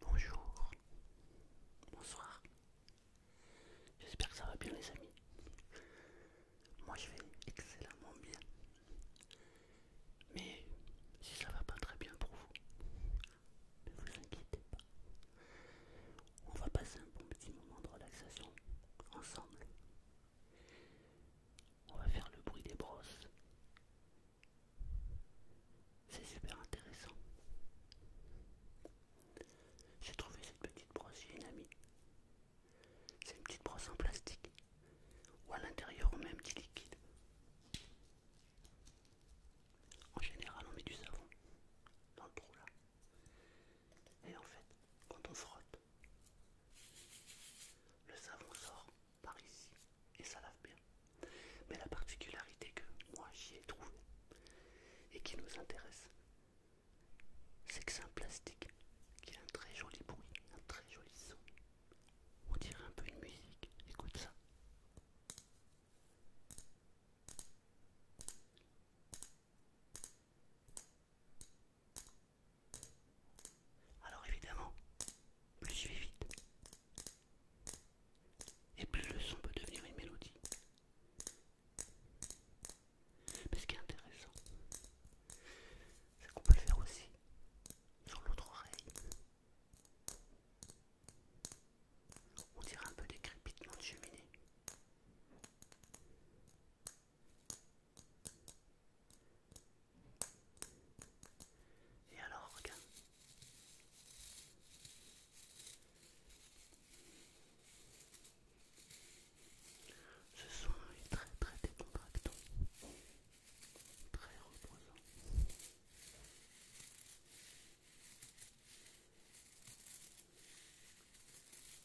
Bonjour, bonsoir, j'espère que ça va bien les amis. Moi je vais excellemment bien. Mais si ça va pas très bien pour vous, ne vous inquiétez pas. On va passer un bon petit moment de relaxation ensemble. On va faire le bruit des brosses. C'est super intéressant. J'ai trouvé cette petite brosse chez une amie. C'est une petite brosse en plastique. Ou à l'intérieur on met un petit liquide. En général on met du savon dans le trou là. Et en fait, quand on frotte, le savon sort par ici et ça lave bien. Mais la particularité que moi j'y ai trouvée et qui nous intéresse, c'est que c'est un plastique qui a un très joli bruit, un très joli son. On dirait un peu une musique, écoute ça. Alors évidemment, plus je vais vite, et plus le son peut devenir une mélodie. Mais ce qui est intéressant, c'est qu'on peut le faire aussi sur l'autre oreille. On dirait un peu des crépitements de cheminée. Et alors, regarde. Ce soin est très très décontractant, très reposant.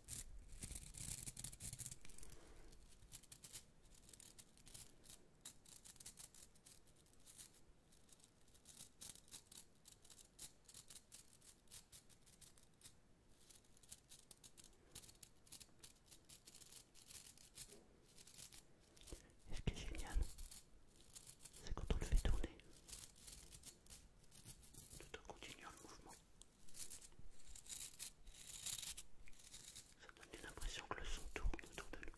est ce qui est génial, c'est quand on le fait tourner, tout en continuant le mouvement. Ça donne l'impression que le son tourne autour de nous.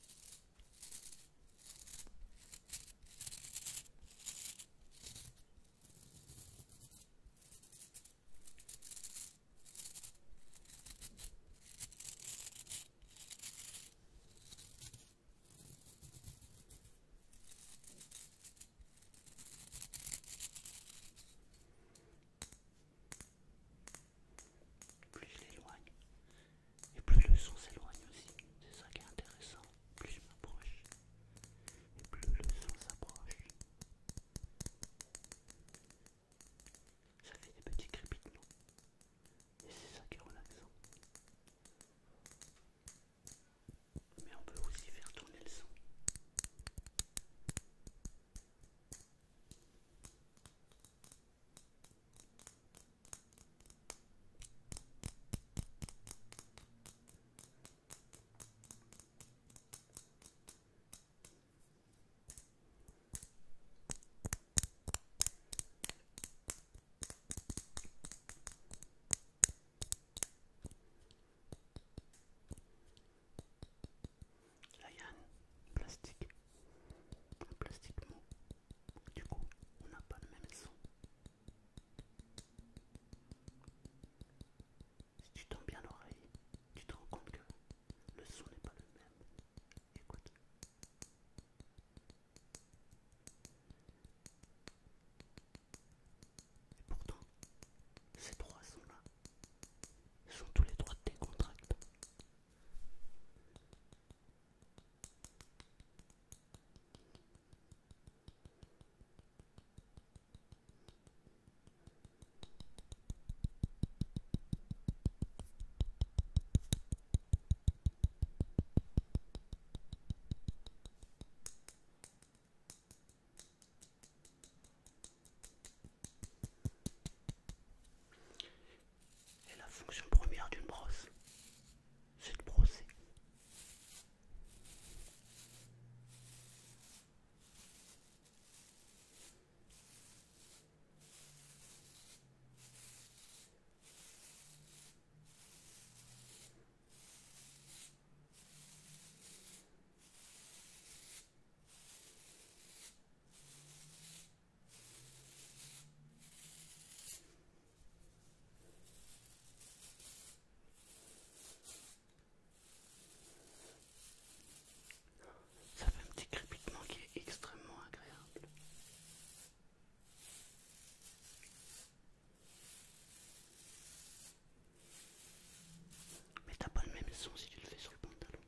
Plus je l'éloigne, et plus le son s'éloigne aussi. C'est ça qui est intéressant. Plus je m'approche, et plus le son s'approche. Ça fait des petits crépitements. Et c'est ça qui est relaxant mais on peut aussi faire tourner le son il y a un plastique, un plastique mou. Du coup, on n'a pas le même son. Si tu tends bien l'oreille, tu te rends compte que le son n'est pas le même. Écoute. Et pourtant, ces trois sons-là sont tous les trois décontractés. Voilà. Et la fonction première d'une brosse, c'est de brosser. Ça fait un petit crépitement qui est extrêmement agréable. Mais t'as pas le même son si tu le fais sur le pantalon.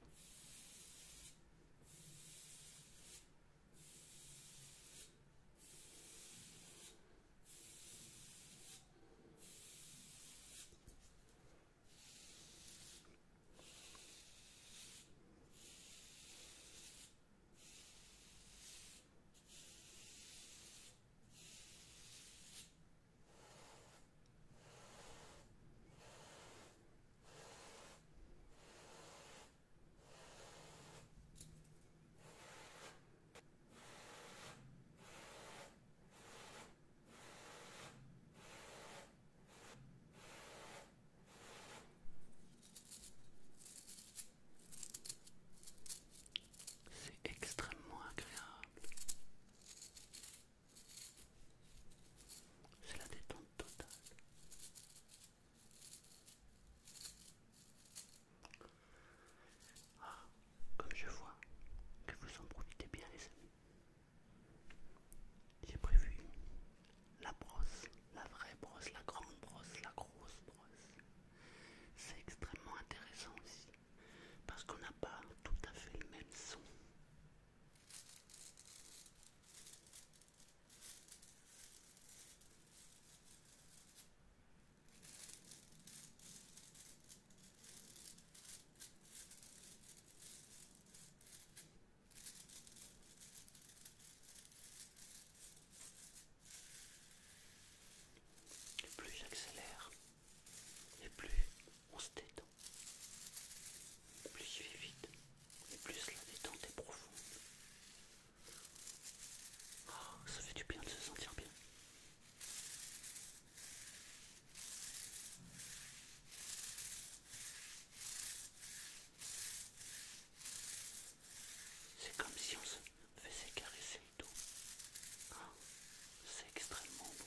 C'est extrêmement agréable. C'est la détente totale. Ah, comme je vois que vous en profitez bien les amis. J'ai prévu la brosse, la vraie brosse, la grande brosse, la grosse brosse. C'est extrêmement intéressant aussi parce qu'on n'a pas tout à fait le même son. plus j'accélère, et plus on se détend. Plus il fait vite et plus la détente est profonde. Ah, ça fait du bien de se sentir bien. C'est comme si on se faisait caresser le dos. Ah, c'est extrêmement bon.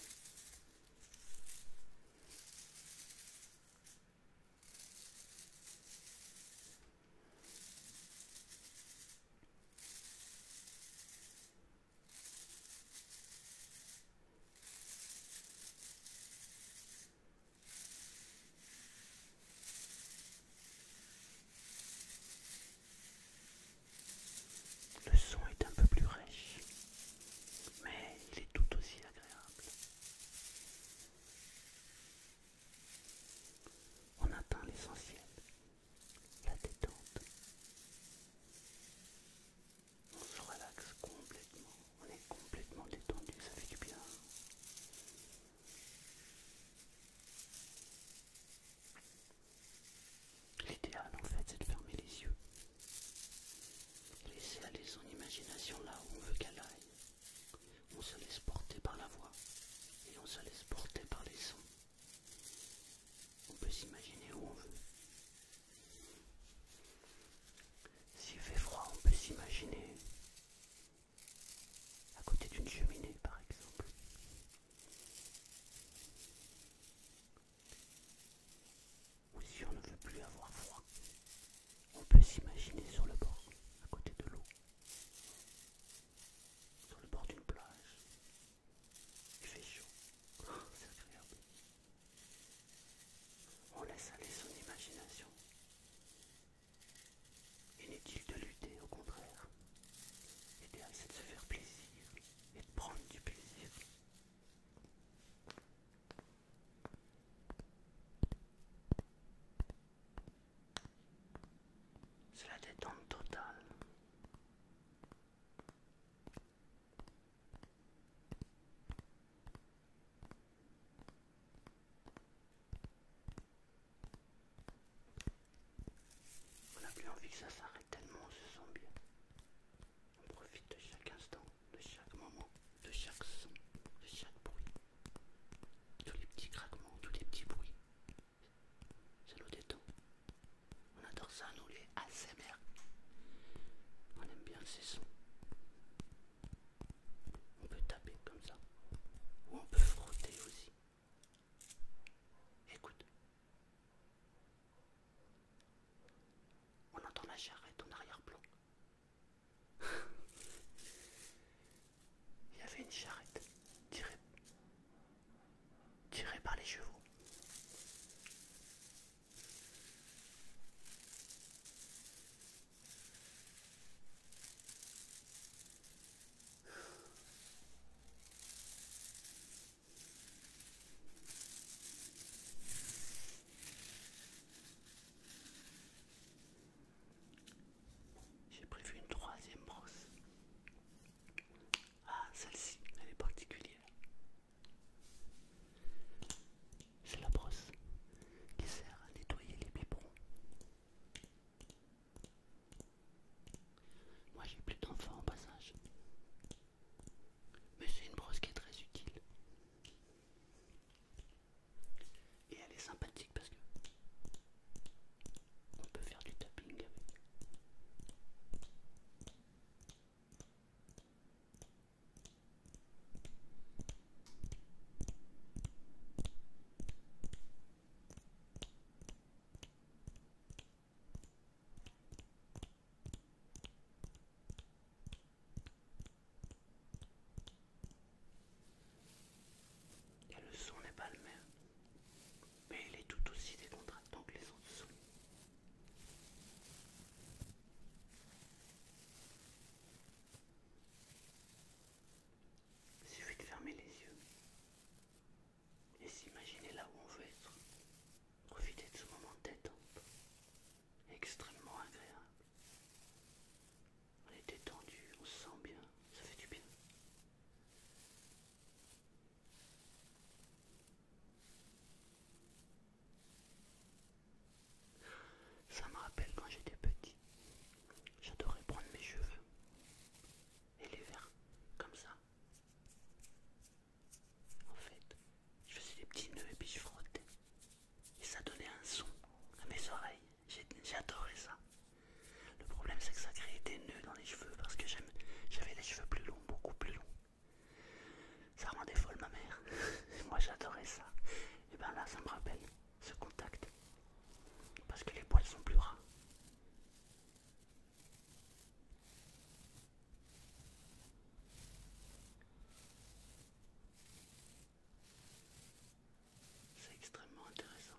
Le son est un peu plus riche mais il est tout aussi agréable. On atteint l'essentiel, la détente. On se relaxe complètement, on est complètement détendu, ça fait du bien. L'idéal en fait c'est de fermer les yeux Laissez aller son imagination là où on veut qu'elle aille. On se laisse porter par la voix et on se laisse porter par les sons. On peut s'imaginer où on veut. S'il fait froid, on peut s'imaginer à côté d'une cheminée par exemple ou si on ne veut plus avoir froid, on peut s'imaginer sur le bord, à côté de l'eau, sur le bord d'une plage. Il fait chaud, oh, c'est agréable. On laisse aller son imagination. Inutile de lutter, au contraire. L'idéal c'est de se faire plaisir et de prendre du plaisir. C'est la détente totale. On a plus envie que ça s'arrête tellement on se sent bien. On profite de chaque instant, de chaque moment, de chaque son, de chaque bruit. Tous les petits craquements, tous les petits bruits. Ça nous détend. On adore ça, nous les ASMR. On aime bien ces sons. On peut taper comme ça. Ou on peut frotter aussi. Écoute, on entend la charrette en arrière-plan. Il y avait une charrette tirée, par les chevaux. J'ai prévu une troisième brosse. Ah, celle-ci, elle est particulière. C'est la brosse qui sert à nettoyer les biberons. Moi j'ai plus d'enfants en passage mais c'est une brosse qui est très utile et elle est sympathique parce que on peut faire du tapping avec le son n'est pas le même, mais il est tout aussi décontractant que les autres sons. Il suffit de fermer les yeux et s'imaginer là où on veut être. Profiter de ce moment de tête extrêmement agréable. On est détendu, on se sent bien, ça fait du bien. Ça me rappelle quand j'étais petit. J'adorais prendre mes cheveux et les verres comme ça en fait, je faisais des petits nœuds et puis je frottais. Et ça donnait un son à mes oreilles. J'adorais ça. Le problème c'est que ça créait des nœuds dans les cheveux parce que j'avais les cheveux plus longs, beaucoup plus longs. Ça rendait folle ma mère. Moi j'adorais ça. Et ben là ça me rappelle ce contact. Parce que les poils sont plus rares. C'est extrêmement intéressant.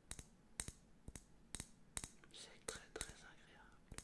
C'est très très agréable.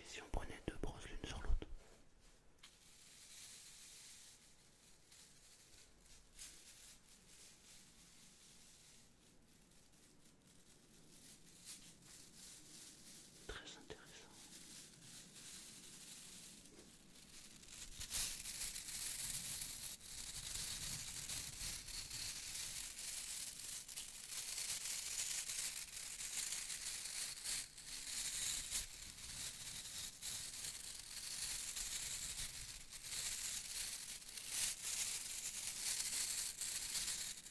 Et si on prenait deux brosses l'une sur l'autre Très intéressant.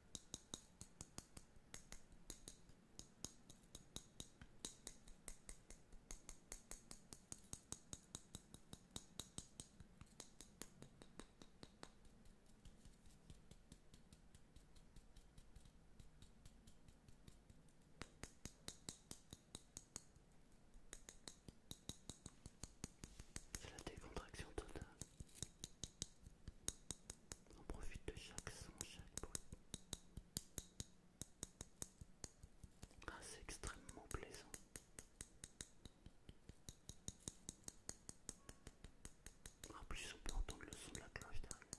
C'est la décontraction totale. On profite de chaque son, chaque bruit. Ah, c'est extrêmement plaisant. En plus, on peut entendre le son de la cloche derrière.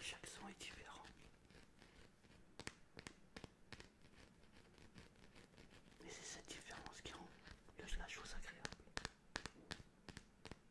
Chaque son est différent. mais c'est cette différence qui rend le, la chose agréable.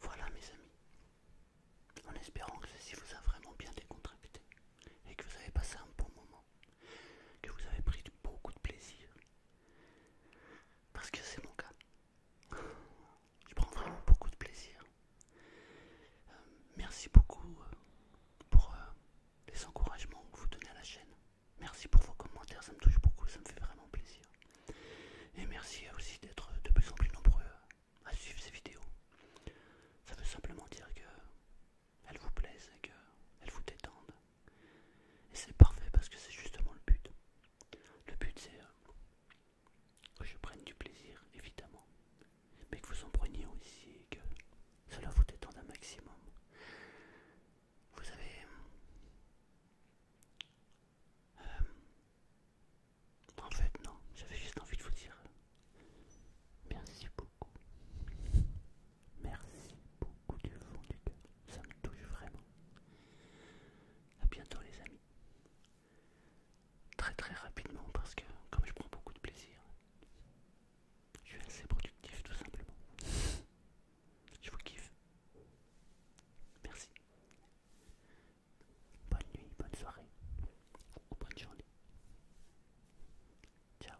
Voilà mes amis, en espérant que ceci vous a vraiment bien décontracté et que vous avez passé un bon moment, que vous avez pris beaucoup de plaisir parce que c'est mon cas. Je prends vraiment beaucoup de plaisir. Euh, merci beaucoup euh, pour euh, les encouragements que vous donnez à la chaîne. Merci pour vos commentaires, ça me touche beaucoup, ça me fait vraiment plaisir. Et merci aussi d'être de plus en plus nombreux à suivre ces vidéos. Ça veut simplement dire que elles vous plaisent et qu'elles vous détendent. Et c'est parfait parce que c'est justement le but. Le but c'est euh, que je prenne du plaisir, évidemment, mais que vous en preniez aussi que cela vous détende un maximum. Vous avez... Euh, en fait, non, j'avais juste envie de vous dire merci beaucoup. Merci beaucoup du fond du cœur. Ça me touche vraiment. A bientôt les amis. Très très rapidement parce que comme je prends beaucoup de plaisir, je suis assez productif tout simplement. Je vous kiffe. Merci. Bonne nuit, bonne soirée ou bonne journée. Ciao.